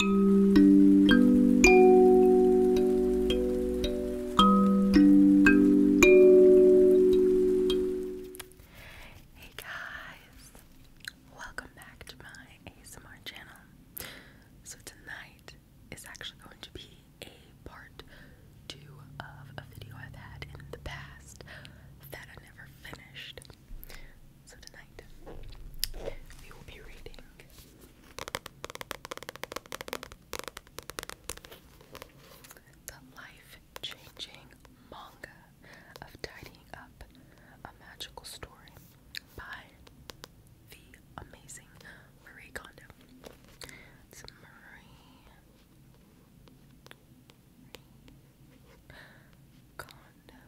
Hey guys, welcome back to my ASMR channel. So, tonight is actually going to be a part two of a video I've had in the past that I never finished. So tonight we will be reading the life-changing manga of tidying up a magical story by the amazing Marie Kondo. It's Marie Kondo.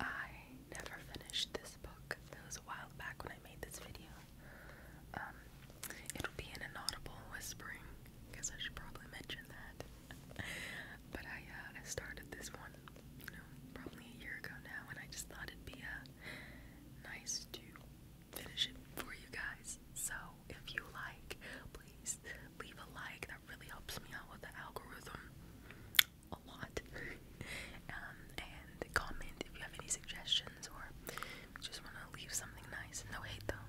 I never finished this book. It was a while back when I made this video. Um, it'll be an inaudible whispering. because I should probably mention that. but I, uh, I started this one, you know, probably a year ago now, and I just thought it'd be a nice to finish it for you guys. So if you like, please leave a like. That really helps me out with the algorithm a lot. Um, and comment if you have any suggestions or just want to leave something nice. No hate though.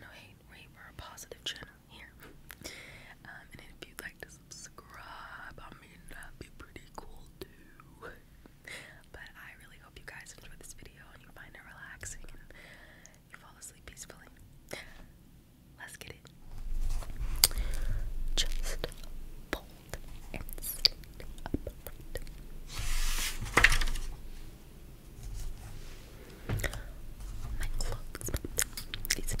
No hate. Wait, we're a positive channel here. Um, and if you'd like to subscribe. I mean, that'd be pretty cool too. but I really hope you guys enjoy this video and you find it relaxing you fall asleep peacefully. Let's get it. Just fold and sit upright. My clothes, it's an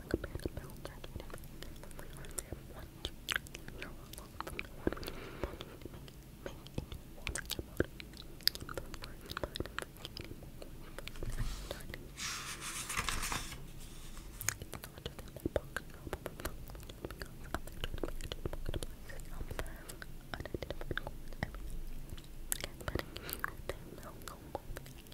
like a band of metal circuit. One, two, three, four, five, one, two, make it one about keep the words in mind for any more It's not just in that box, no, but the box because other tournament multiplies unidentified coins every year. Letting you them know both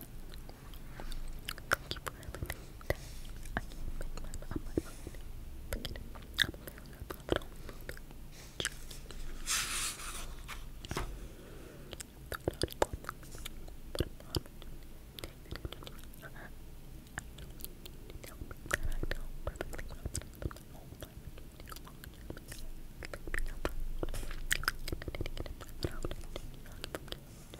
Thank you for everything that I can't make my up my mind. Forget it. I'm a little bit of Thank you.